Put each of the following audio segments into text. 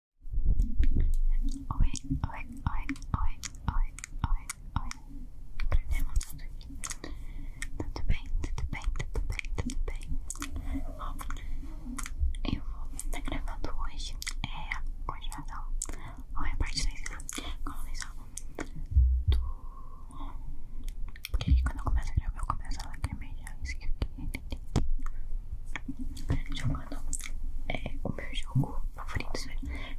Oi, oi, oi, oi, oi, oi, oi. Aprendemos tudo aqui. Tudo bem, tudo bem, tudo bem, tudo bem. eu vou estar gravando hoje. É a continuação. Ou é a parte 2, como vocês falam. Do... Porque quando eu começo a gravar, eu começo a lacrimejar isso aqui jogando é, o meu jogo favorito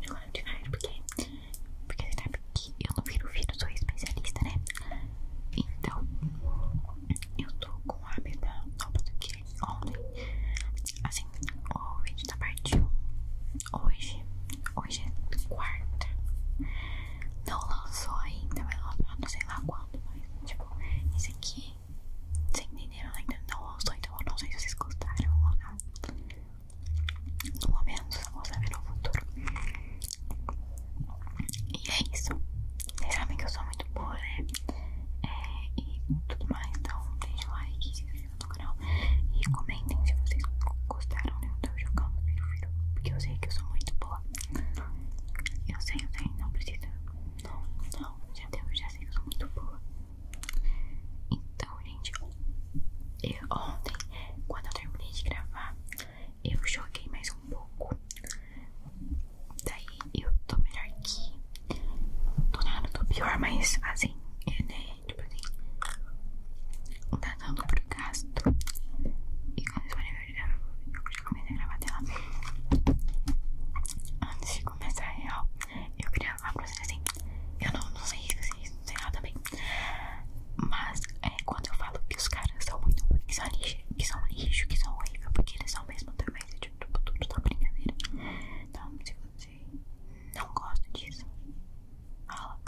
jogando de Fire, porque porque você sabe que eu não viro vídeo sou especialista, né? Então, eu tô com a meta nova do que ontem. Assim, o vídeo tá partindo hoje. Hoje é quarta. Não lançou ainda, vai lançar não sei lá quando, mas tipo, esse aqui assim. Vocês entenderam? Ainda não ouço, então eu não sei se vocês gostaram ou não. Pelo menos vou saber no futuro. E é isso. Vocês sabem que eu sou muito boa, né? É, e tudo mais. Então, deixa o like, se inscreva no canal e comentem se vocês gostaram de eu estar jogando Porque eu sei que eu sou muito boa. Eu sei, eu sei, não precisa não, não, já deu, já sei que eu sou muito boa. Então, gente, eu, ontem, quando eu terminei de gravar, eu joguei mais um pouco. Daí eu tô melhor que. Tô nada, tô pior, mas assim, é, né? Tipo assim, tá dando pro gasto. E quando eles forem ver, eu já comecei a gravar a tela. Antes de começar é real, eu queria falar pra assim: eu não, não sei isso, não sei nada bem. Mas é quando eu falo que os caras são muito ruins, que são lixo, que são, lixo, que porque eles são mesmo também, tipo, tudo, tudo tá brincadeira. Então, se você não gosta disso, fala.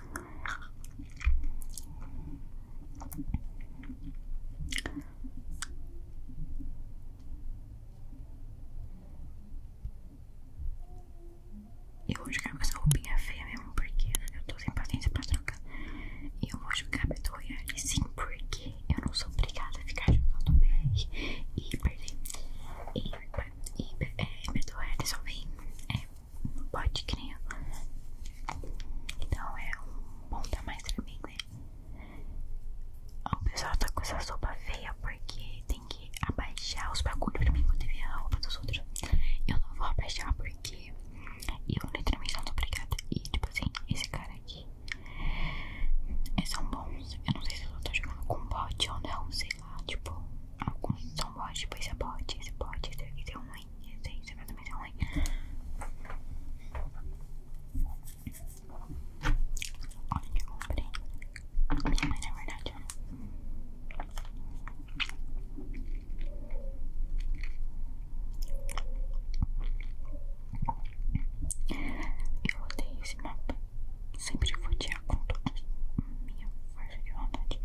Eu vou jogar com essa roupinha feia mesmo, porque eu tô sem paciência pra trocar. eu vou jogar Battle Royale sim, porque eu não sou obrigada a ficar jogando BR e perder. E, e é, Battle Royale só vem é, no Então é um monte mais pra né? Né? O pessoal tá com essa sopa feia porque tem que abaixar os bagulhos pra mim poder ver a roupa dos outros. Eu não vou abaixar porque eu literalmente não tô obrigada. E tipo assim, esse cara aqui. É são bons. Eu não sei se eu tô jogando com bot ou não, sei lá. Tipo, alguns são bot, tipo esse é bot, esse é bot, esse aqui é ruim, esse aí também é ruim. Olha que eu comprei. Minha mãe, na verdade, eu odeio esse mapa. Sempre vou odiar com toda a minha força de vontade.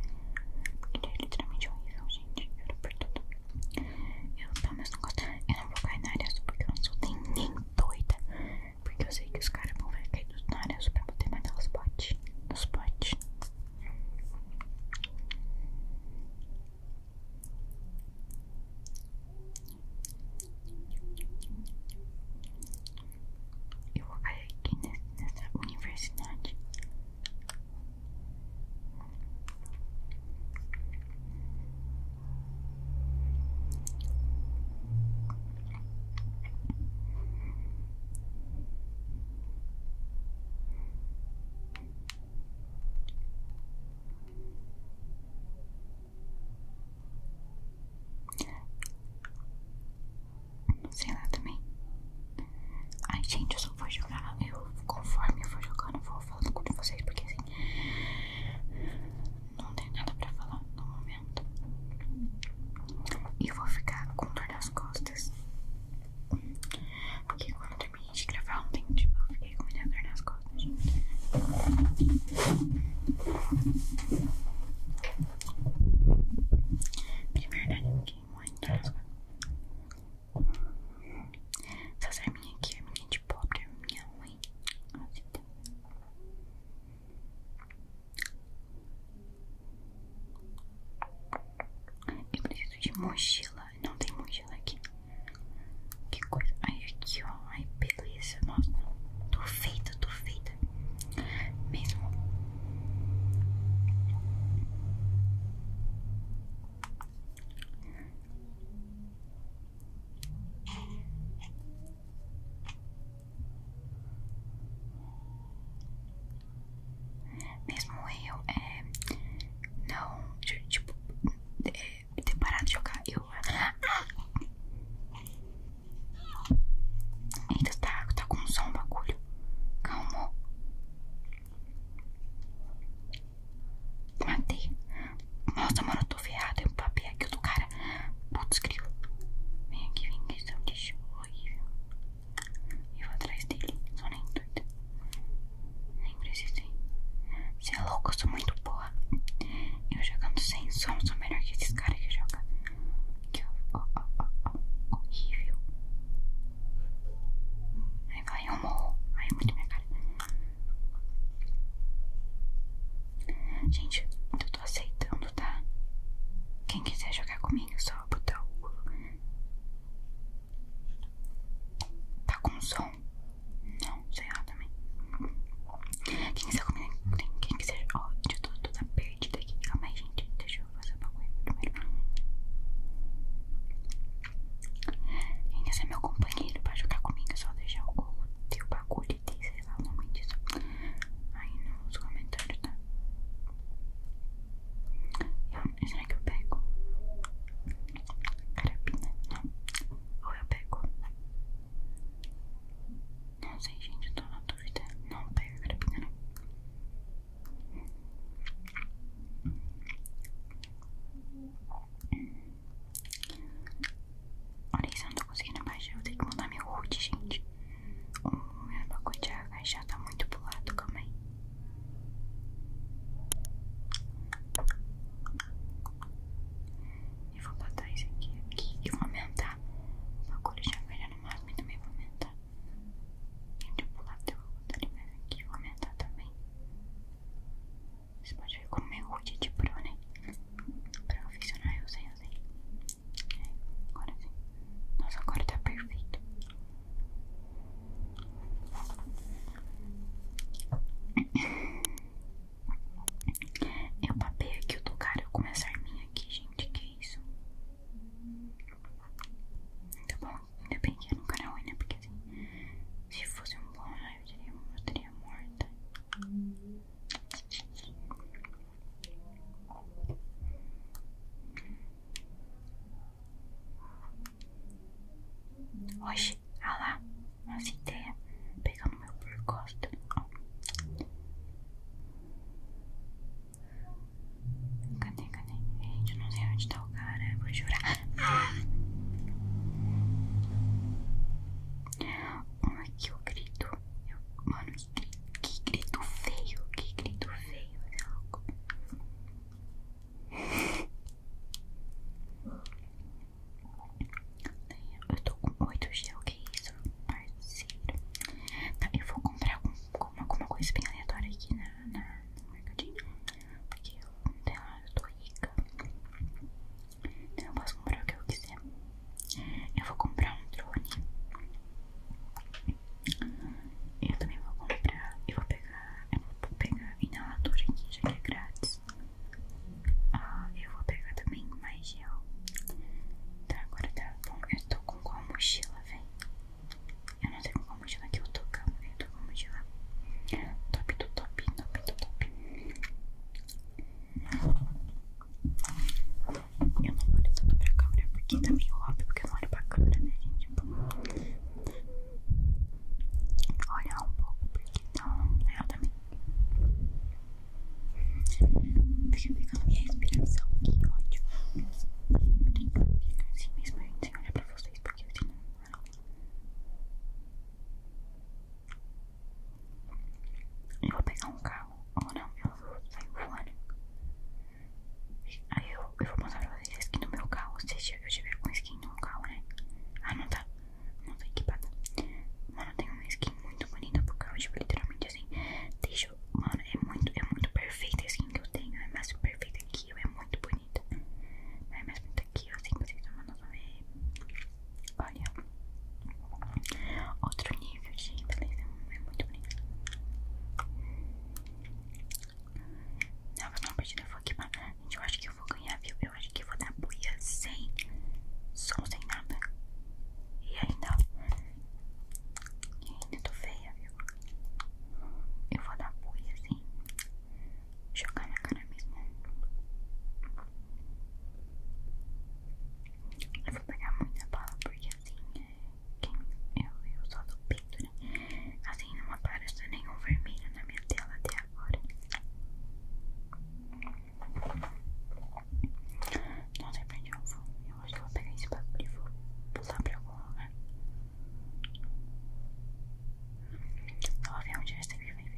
Porque ele é literalmente horrível, gente. Eu tô por tudo. Eu, pelo menos, não gosto. Eu não vou cair na área azul porque eu não sou nem doida. Porque eu sei que os caras vão ver cair dos naras pra poder naquelas os bots. Nos bots. Eu vou cair aqui nessa universidade. Sei lá também. Ai, gente, eu só vou jogar. Eu, conforme eu for jogando, eu vou falando com vocês, porque assim não tem nada pra falar no momento. E vou ficar com dor nas costas. Porque quando eu terminei de gravar ontem, tipo, eu fiquei com muita dor nas costas, De verdade, eu fiquei muito dor nas costas. a é minha de pobre, a é minha ruim. Eu preciso de mochila. Não tem mochila aqui. Que coisa. Ai, aqui, ó. Ai, beleza. Nossa, tô feita, tô feita. Mesmo. Mesmo eu é, não, tipo, é, ter parado de jogar, eu. Ah, eita, tá, tá com som bagulho. Calma. Matei. Nossa, mano, eu tô ferrado. Tem um papel aqui do cara. Putz, grilo. Vem aqui, vem aqui. Isso é um lixo horrível. E vou atrás dele. Só nem doida. Nem precisei. Você é louco, eu sou muito boa. Eu jogando sem som, sou melhor que esses caras que jogam. Que horrível. Aí vai, eu morro. Ai, muito minha cara. Gente, eu tô aceitando, tá? Quem quiser jogar comigo, é só botar o. Tá com som? Não, sei lá também. Quem quiser comigo, quem quiser. Ó, eu tô toda perdida aqui. Calma aí, gente. Deixa eu fazer uma coisa primeiro. Quem quiser meu companheiro pra jogar comigo, é só deixar o Google tem o bagulho e tem, sei lá, o nome disso aí nos comentários, tá? Eu, será que eu pego? Carabina? Não. Ou eu pego? Não sei, gente, eu tô na dúvida. Não pega a carabina, não. Olha isso, eu não tô conseguindo abaixar. Vou ter que mudar meu root, gente. O meu pacote de agachar tá muito pro lado, calma aí. Eu vou botar isso aqui, aqui e vou aumentar. O bagulho de agachar no máximo e também vou aumentar. Gente, pro pular eu vou botar ele mais aqui. Vou aumentar também. Você pode ver como é o de pro, né? Profissional, eu sei, eu sei. É, agora sim. Nossa, agora tá perfeito. Eu papei aqui o tocar cara com essa arminha aqui, gente. Que isso? Tá bom, ainda bem que era um canal, né? Porque assim, se fosse um bom ah, eu diria, eu Oxi, ah nossa ideia, pegando meu percosto. Cadê, cadê? Gente, eu não sei onde tá o cara, eu vou jurar. Ah! Um aqui o grito. mano, que, grito feio. Que grito feio, é louco. Eu tô com 8G, o que é isso? Parceiro. Tá, eu vou comprar algum, alguma, coisa bem aleatória aqui na, no mercadinho. Porque eu, sei lá, eu tô rica. Eu não posso comprar o que eu quiser. Eu vou comprar um drone. Eu também vou comprar. Eu vou pegar. Eu vou pegar inalador aqui, já que é grátis. Ah, eu vou pegar também mais gel. Tá, agora tá bom. Eu tô com qual mochila, velho? Eu não sei com qual mochila que eu tô, calma. Eu tô com mochila. Top do top, top top. Eu não olho tanto pra câmera porque também tá meio óbvio porque eu não olho pra câmera, né, gente? Tipo, olhar um pouco porque então tá eu também fica pegando minha respiração. Que ódio. Fica assim mesmo, gente, sem olhar pra vocês porque assim não. Eu vou pegar um carro. Ou ah, não, eu vou sair fora. Aí eu, eu vou mostrar pra vocês a skin do meu carro. Se eu tiver com skin de um carro, né? Ah, não tá. Não tá equipada. Mano, tenho uma skin muito bonita pro carro. Tipo, literalmente assim. Deixa eu. Mano, é muito, é muito perfeita a que eu tenho. É mais perfeita que eu. É muito bonita. É mais bonita aqui, assim pra vocês não ver. Olha, outro nível gente é muito bonito. Não, vai uma partida, eu vou aqui, mas, gente, eu acho que eu vou ganhar, viu? Eu acho que eu vou dar buia sem som, sem nada. E ainda, e ainda tô feia, viu? Eu vou dar buia, sem jogar na cara mesmo. Eu vou pegar muita bala porque assim é, quem, eu, eu só do pinto, né? Assim não apareceu nenhum vermelho na minha tela até agora. Não sei pra um fogo Eu acho que vou pegar esse bagulho de fogo pular pra algum lugar. Só ver onde essa aqui vai vir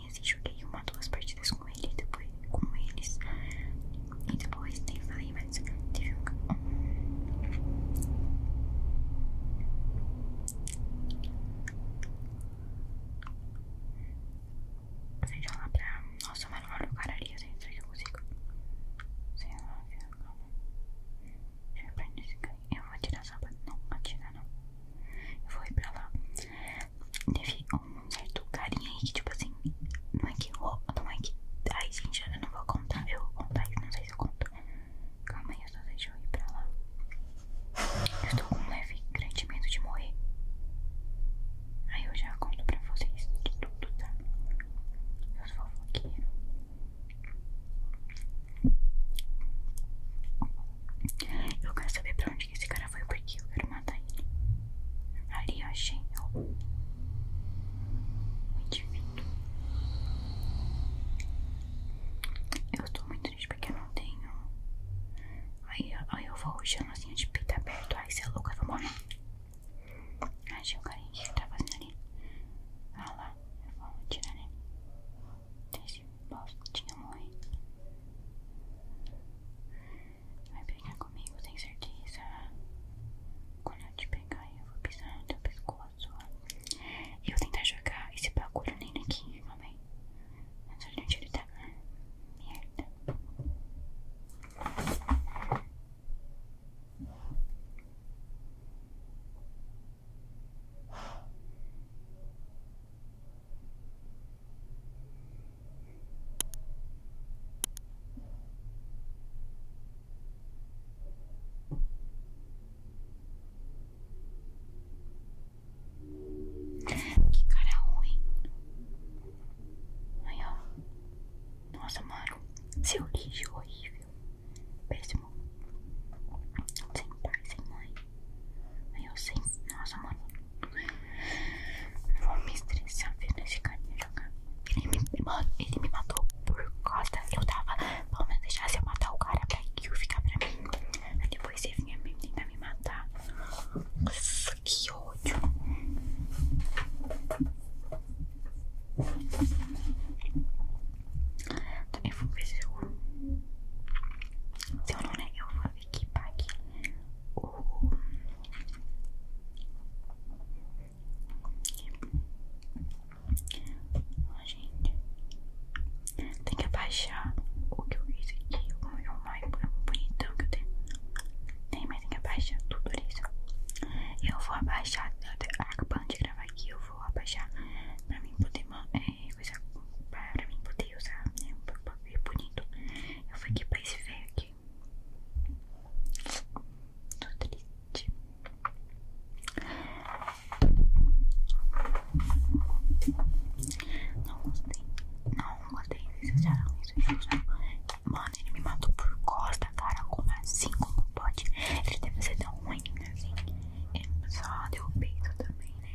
campanhas e joguei uma duas partidas com ele depois com eles e depois nem falei mas teve Deixa eu lá pra. Nossa, mas não cararia, gente. Será que eu consigo? Sei lá, calma. Deixa eu aprender esse cara. Eu vou atirar só pra. Não, atirar não. Eu vou ir pra lá. Teve um certo carinha aí que, tipo assim, não é que não é que. Ai, gente, eu não vou contar. Eu vou contar isso, não sei se eu conto. Calma aí, eu só deixa eu ir pra lá. Eu estou com um leve grande medo de morrer. Aí eu já conto pra vocês de tudo, tá? Eu sou aqui Eu quero saber pra onde esse cara foi porque eu quero matar ele. Ali achei muito indivíduo. Eu tô muito triste porque eu não tenho. Aí, aí eu vou ruxando assim de peito aberto. Ai, você é louca, eu vou morrer. Achei o carinha que tá fazendo ali. Ah lá, eu vou tirar ele. Né? mas posso tinha mãe. Vai pegar comigo, tem certeza? Quando eu te pegar, eu vou pisar no teu pescoço. eu vou tentar jogar esse bagulho nele aqui, mamãe. Mas olha onde ele tá. Merda. Ai, que cara ruim. Aí, Nossa, mano. Seu lixo horrível. Péssimo. Sem pai, sem mãe. Eu sei, nossa, mano. Vou me estressar vendo esse carinha jogar. Ele me, mano, ele me matou por costa. Eu tava, pelo menos se eu matar o cara pra que eu ficar pra mim. Aí depois ele vinha me tentar me matar. Nossa, que ódio. Também vou ver se eu. Se eu não, né? Eu vou que pague o oh, gente tem que abaixar o que eu fiz aqui o meu mais bonitão que eu tenho tem mas tem que abaixar tudo isso eu vou abaixar acabando de gravar aqui eu vou abaixar pra mim poder é, é coisa para mim poder usar, né? Um papel é bonito. Eu fui aqui pra esse velho aqui. Tô triste. Não gostei. Não gostei. Vocês acharam Mano, ele me matou por costa, cara. Como assim? Como pode? Ele deve ser tão ruim, assim. Ele é só deu peito também, né?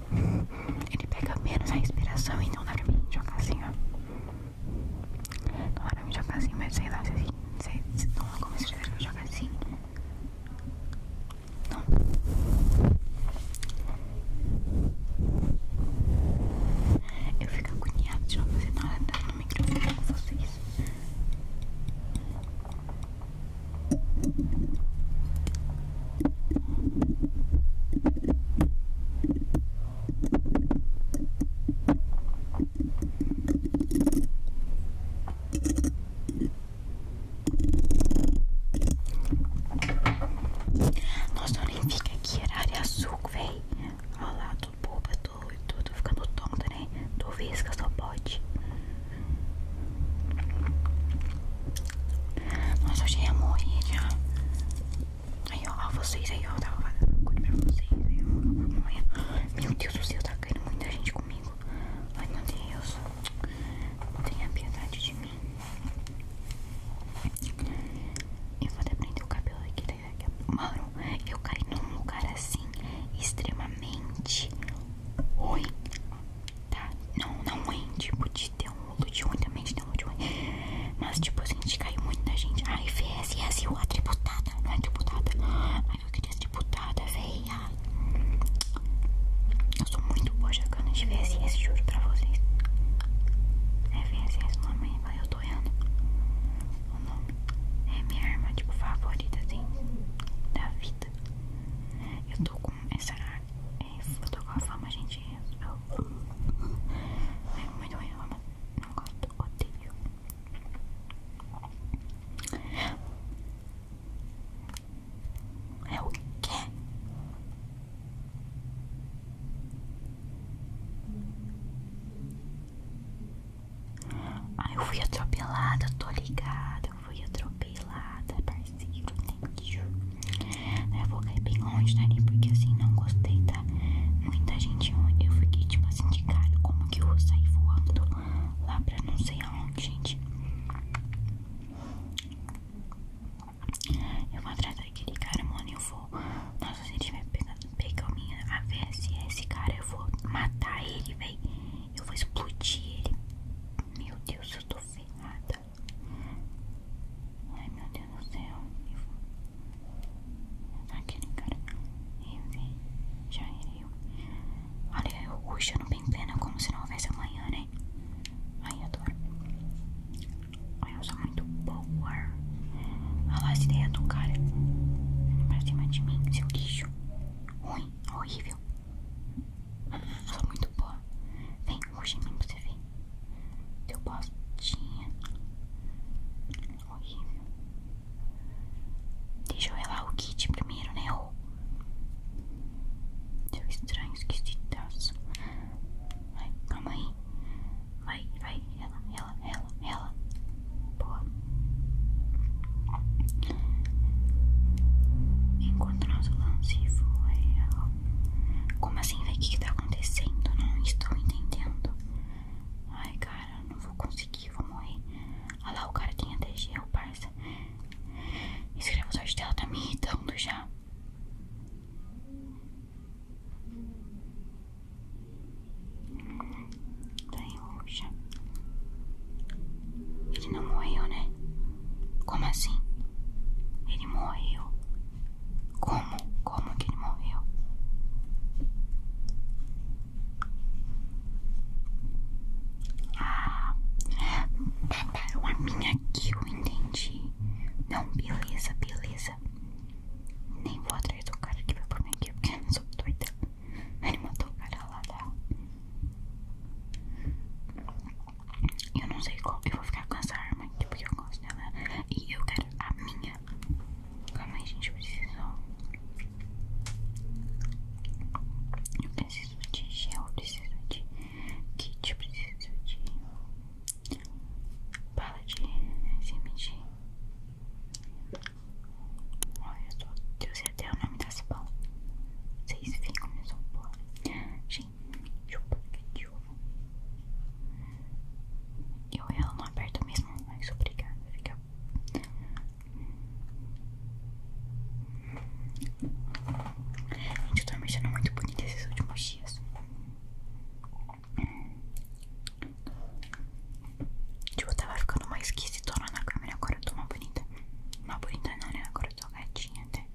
Ele pega menos a respiração, não dá pra mim jogar assim, ó. Não dá pra mim jogar assim, mas sei lá, se assim, sei, se não é como se tivesse que jogar assim. Não. Eu fico agoniado de não fazer nada tá no microfone com vocês. Nossa, olha, fica aqui, área azul, véi. Olha lá, tô boba, tô, tô, tô ficando tonta, né? Tô vesga, só pode. Nossa, eu já ia morrer já. Aí, ó, ó vocês aí, ó. Tava fazendo uma coisa pra vocês. Aí, ó, Meu Deus do céu, tá caindo muita gente comigo. Ai, meu Deus. Tenha piedade de mim. Eu vou até prender o cabelo aqui. daqui a... Mano, eu caí num lugar assim, extremamente oi. Tá? Não, não ruim, é, tipo de ter loot ruim também, não loot ruim. Mas tipo, assim, a gente caiu muito na gente. Ai, fez, e é assim, a tributada, não é tributada. Ai, eu queria ser tributada, véia. Eu sou muito boa jogando de VSS, juro pra vocês. É VSS o nome, eu tô errando. O nome é minha arma, tipo, favorita, assim, da vida. Eu tô com essa. É, eu tô com a fama, gente quentinhas. Eu... É muito ruim, não gosto, odeio. É o quê? Ah, eu fui atropelada, tô ligada, eu fui atropelada, mais livro, thank Eu vou cair bem longe dali, tá? é porque assim, não gostei, tá? Muita gente, eu fiquei tipo assim de cara, como que eu vou sair voando lá pra não sei aonde, gente. Eu vou atrás daquele cara, mano, eu vou. Nossa, gente se pegar o pegado, pegar minha esse cara, eu vou matar ele, velho. Eu vou explodir ele. Meu Deus, eu tô ferrada. Ai meu Deus do céu. Aquele cara. Enfim, já heriu. Olha, eu ruxando bem pena como se não houvesse amanhã, né? Ai, adoro. Ai, eu sou muito boa. Olha lá as ideias do cara. Pra cima de mim, seu lixo. Ruim, horrível. Eu sou muito boa. Vem, ruxa em mim você vem Deu bostinha. Horrível. Deixa eu relar o kit primeiro, né? Oh. Deu estranho, esquisitaço. Vai, calma aí. Vai, vai, ela, ela, ela, ela. Boa. Enquanto nosso lance foi a como assim, velho? O que, que tá acontecendo? Não estou entendendo. Ai, cara, não vou conseguir, vou morrer. Olha lá, o cara tem até gel, parça. escreva gravador de tela tá me irritando já. Tá em roxa. Ele não morreu, né? Como assim? Ele morreu. Como? Como que ele morreu? Ah, mataram a minha eu entendi. Não, beleza, beleza. Nem vou atrás do cara que vai por mim aqui porque eu não sou doida. Ele matou o cara lá da. Eu não sei qual. Eu vou ficar com essa arma aqui porque eu gosto dela. E eu quero a minha. Calma aí, gente. Eu preciso. Eu preciso de gel. Eu preciso de kit. Eu preciso de. Bala de SMG. Olha só. Eu sei até o nome dessa bala. Vocês veem como eu sou boa. Gente. Eu ela não aperto mesmo, mas obrigada, fica. Gente, eu tô me achando muito bonita esses últimos dias. Tipo, eu tava ficando mais esquisitona na câmera, agora eu tô uma bonita. Uma bonita não, né? Agora eu tô gatinha até.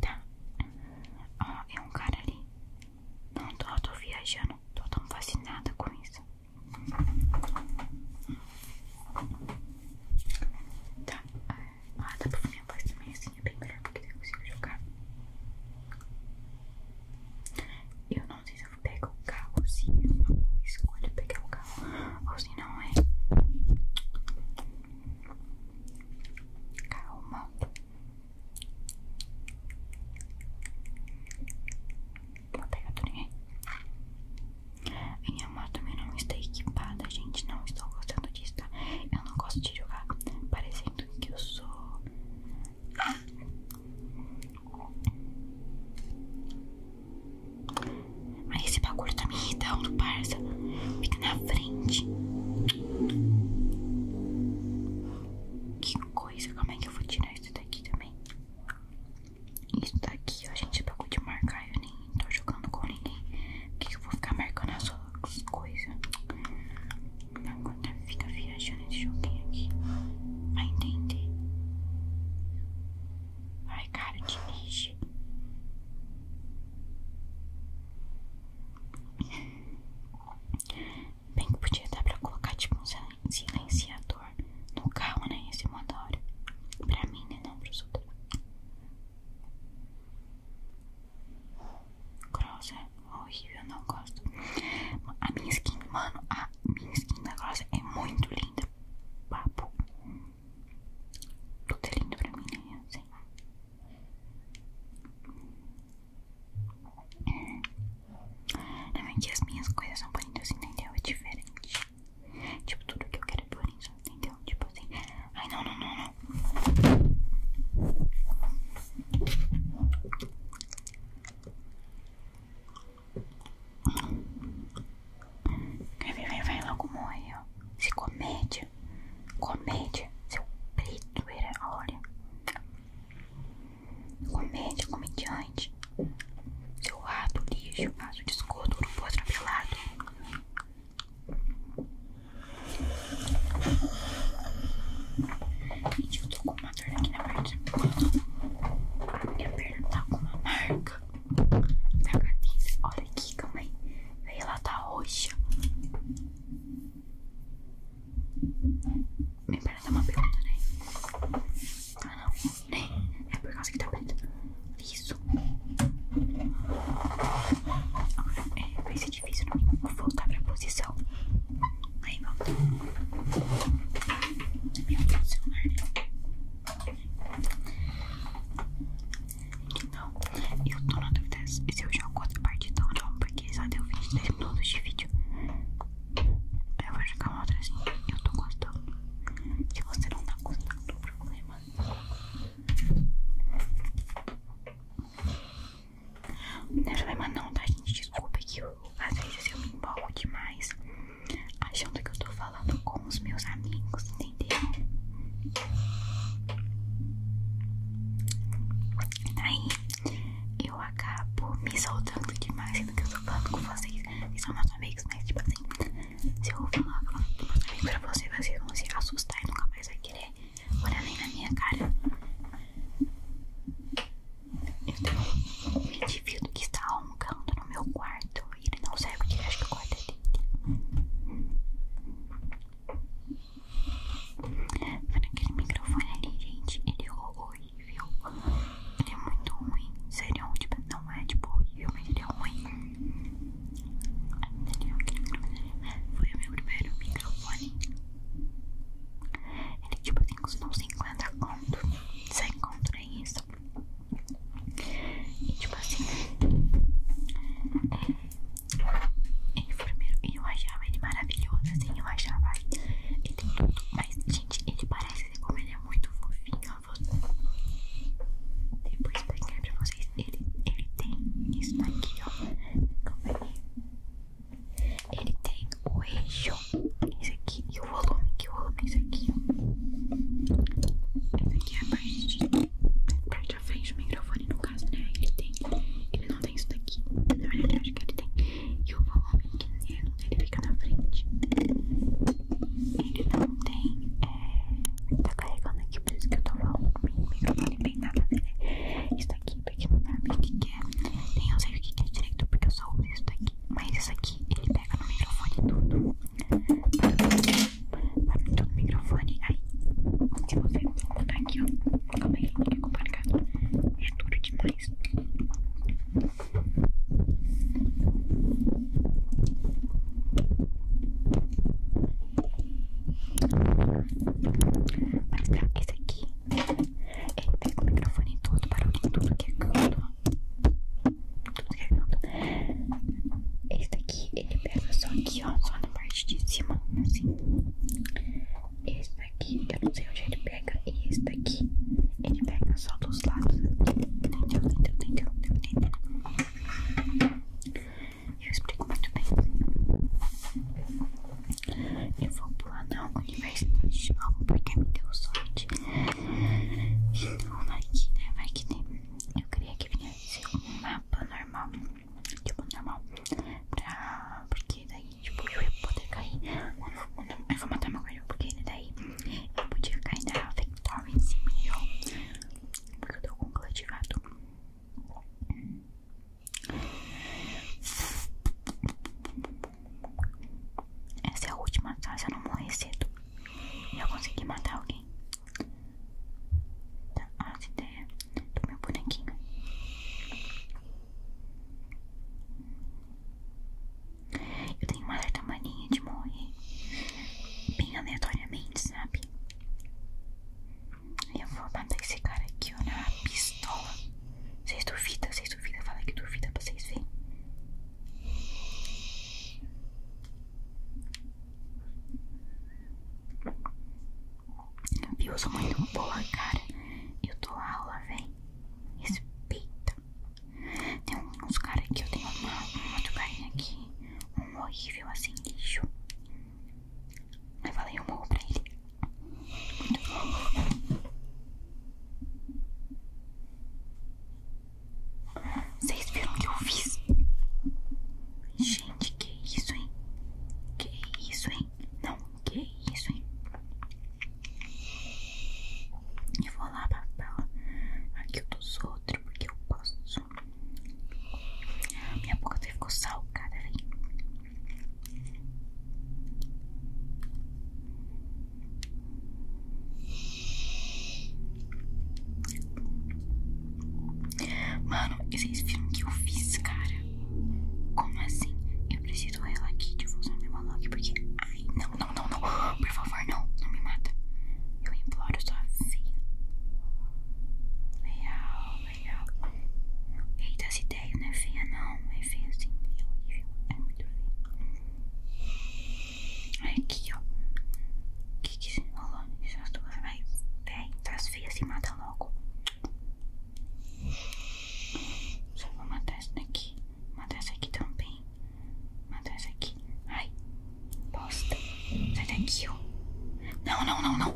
Tá. Ó, é um cara ali. Não, tô, tô viajando. Tô tão fascinada com isso. Tá. Ah, dá pra minha voz também assim, é bem melhor porque eu consigo jogar. Eu não sei se eu vou pegar o carro, se eu escolho pegar o carro ou se não é. Calma. Vou pegar tá tudo ninguém. Minha moto também não está equipada, gente. Não estou gostando disso, tá? Eu não gosto de jogar parecendo que eu sou. Mas esse bagulho tá me irritando, parça. Fica na frente. Que coisa, como é que eu vou tirar isso daqui também? Isso daqui, ó, gente, é bagulho de marcar. Eu nem tô jogando com ninguém. Por que eu vou ficar marcando as suas coisas? Agora tá, fica viajando esse joguinho aqui. Vai entender. Ai, cara, dirige. Bem que podia dar pra colocar tipo um silenciador no carro, né? Esse motor. Pra mim, né? Não pros outros. Grossa, é horrível, não gosto. A minha skin, mano, a minha skin da Grossa é muito linda. Papo. Tudo é lindo pra mim, né? Assim. Não é. é que as minhas coisas são bonitas, entendeu? É diferente. Tipo, tudo que eu quero é bonito, entendeu? Tipo assim. Ai, não, não, não, não. Vai, vai, vai logo morre, ó. Se comédia. Comédia. Seu preto era, olha. Comédia, comediante. Seu rato, lixo, vaso de esgoto, urubu atropelado. Gente, eu tô com uma dor aqui na perna. Minha perna tá com uma marca. Olha aqui, calma aí. Ela tá roxa. Minha perna tá uma pergunta, né? Ah, não. Nem. Né? É por causa que tá preta. Isso. É, vai ser difícil não mim. Vou voltar pra posição. Aí, volta. Meu Deus, celular, né? que não. Eu tô na dúvida se eu jogo outra partida ou não, porque só deu 23 minutos de vídeo. Eu vou jogar uma outra assim. Eu tô gostando. Se você não tá gostando, não problema. Não é problema, não, tá, gente? Desculpa que às vezes eu me embalo demais achando que eu tô falando falando com os meus amigos, entendeu? Aí eu acabo me soltando demais, sendo que eu tô falando com vocês, vocês são meus amigos, mas tipo assim, se eu falar falando com pra vocês, vocês vão se assustar e nunca mais vai querer olhar nem na minha cara. Eu tenho um indivíduo que está roncando no meu quarto ele não sabe serve de acho que corta Vendo aquele microfone ali, gente, ele é horrível. Ele é muito ruim. Sério, tipo, não é tipo horrível, mas ele é ruim. É foi o meu primeiro microfone. Ele tipo tem uns 50 conto. 100 conto nem é isso. E tipo assim, ele é, é, enfermeiro, e eu achava ele maravilhoso, assim, eu achava ele tem tudo, mas gente, ele parece como ele é muito fofinho, eu vou depois pegar pra vocês, ele, ele tem isso daqui, ó, como ele tem o eixo, isso aqui, e o volume, que o volume é aqui, ó. aqui é a parte de parte à frente do microfone, no caso, né? Ele tem, ele não tem isso daqui. Na verdade, eu acho que ele tem. E o volume que ele, fica na frente. Ele não tem. É, tá carregando aqui, por isso que eu tô falando O microfone bem nada, né? Isso daqui, porque não sabe o que, que é. Nem eu sei o que, que é direito, porque eu só uso isso daqui. Mas isso aqui, ele pega no microfone tudo. Barulho do microfone. Aí, se você botar aqui, ó. também aí, fica complicado. É duro demais. Mas pra esse aqui, ele pega o microfone todo, o barulhinho, tudo que é canto. Esse daqui ele pega só aqui, ó, só na parte de cima, assim. Esse daqui, eu não sei onde ele pega. E esse daqui, ele pega só dos lados. Entendeu? Entendeu? Entendeu? Entendeu? Eu explico muito bem. Eu vou pular na universidade de novo porque me deu sorte. Então, vai que, né? Vai que tem. Eu queria que vinha ser um mapa normal, tipo normal, pra, porque daí tipo, eu ia poder cair, eu vou matar meu porque daí eu podia cair na Victoria em cima de porque eu tô com cultivado. Essa é a última, tá? eu não morrer cedo, eu consegui matar alguém. Tá, as ideias do meu bonequinho. Eu tenho uma certa mania de morrer bem aleatoriamente, sabe? Eu vou matar esse cara aqui, ó, na pistola. Vocês duvidam, vocês duvidam, fala que duvida pra vocês verem sou muito boa, cara. Eu dou aula, véi. Respeita. Tem uns caras aqui, eu tenho uma, um outro carinha aqui. Um horrível, assim, lixo. Aí falei um morro pra ele. Muito bom. Vocês viram o que eu fiz? Gente, que isso, hein? Que isso, hein? Não, que isso, hein? Eu vou lá papel aqui dos outros, porque eu posso. Ah, minha boca até ficou salgada, velho. Mano, vocês viram o que eu fiz, cara? Como assim? Eu preciso dela aqui de usar meu malog porque. Ai, não, não, não, não. Por favor, não. Não me mata. Eu imploro sua feia. Leal, leal. Eita, essa ideia não é feia, não. É feia assim. É horrível. É muito feia. Aqui, ó. O que que se enrolou? Essas é duas vai. Vem, traz feias e mata logo. Só vou matar essa daqui. Matar essa aqui também. Matar essa aqui. Ai, bosta. Sai daqui, ó. Não, não, não, não.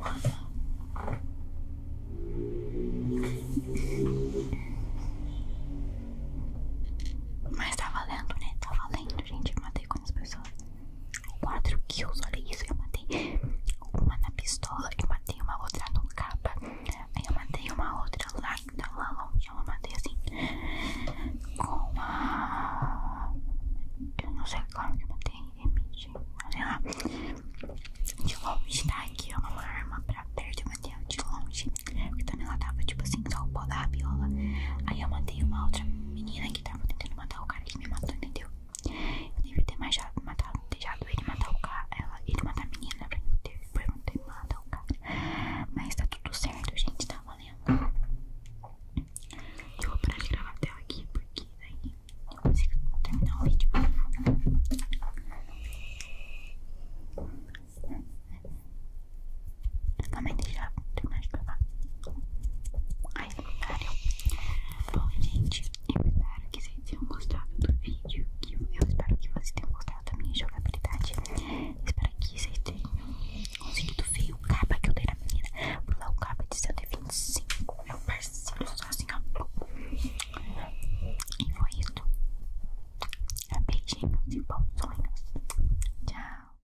Mas tá valendo, né? Tá valendo, gente. Matei com as pessoas. 4 kills, olha isso. Eu matei uma na pistola, eu matei uma outra no capa, aí eu matei uma outra lá, então lá longe, eu matei assim com uma Eu não sei como que eu matei, emite, olha De longe, tá? Aqui é uma arma pra perto, eu matei de longe, porque também ela tava tipo assim, só o pó da rabiola. Aí eu matei uma outra menina tava tentando matar o cara que me matou, entendeu? Eu devia ter mais já matado, deixado ele matar o cara, ela, ele matar a menina pra eu ter, pra eu o cara. Mas tá tudo certo, gente, tá valendo. Eu vou parar de gravar a tela aqui, porque daí eu consigo terminar o vídeo também deixar terminar de gravar. Ai, valeu. Bom, gente, eu espero que vocês tenham gostado do vídeo. Que eu espero que vocês tenham gostado da minha jogabilidade. Espero que vocês tenham conseguido ver o capa que eu dei na menina. Por lá, o capa de 125. É um parceiro só assim, ó. E foi isso. Beijinhos e bons sonhos. Tchau.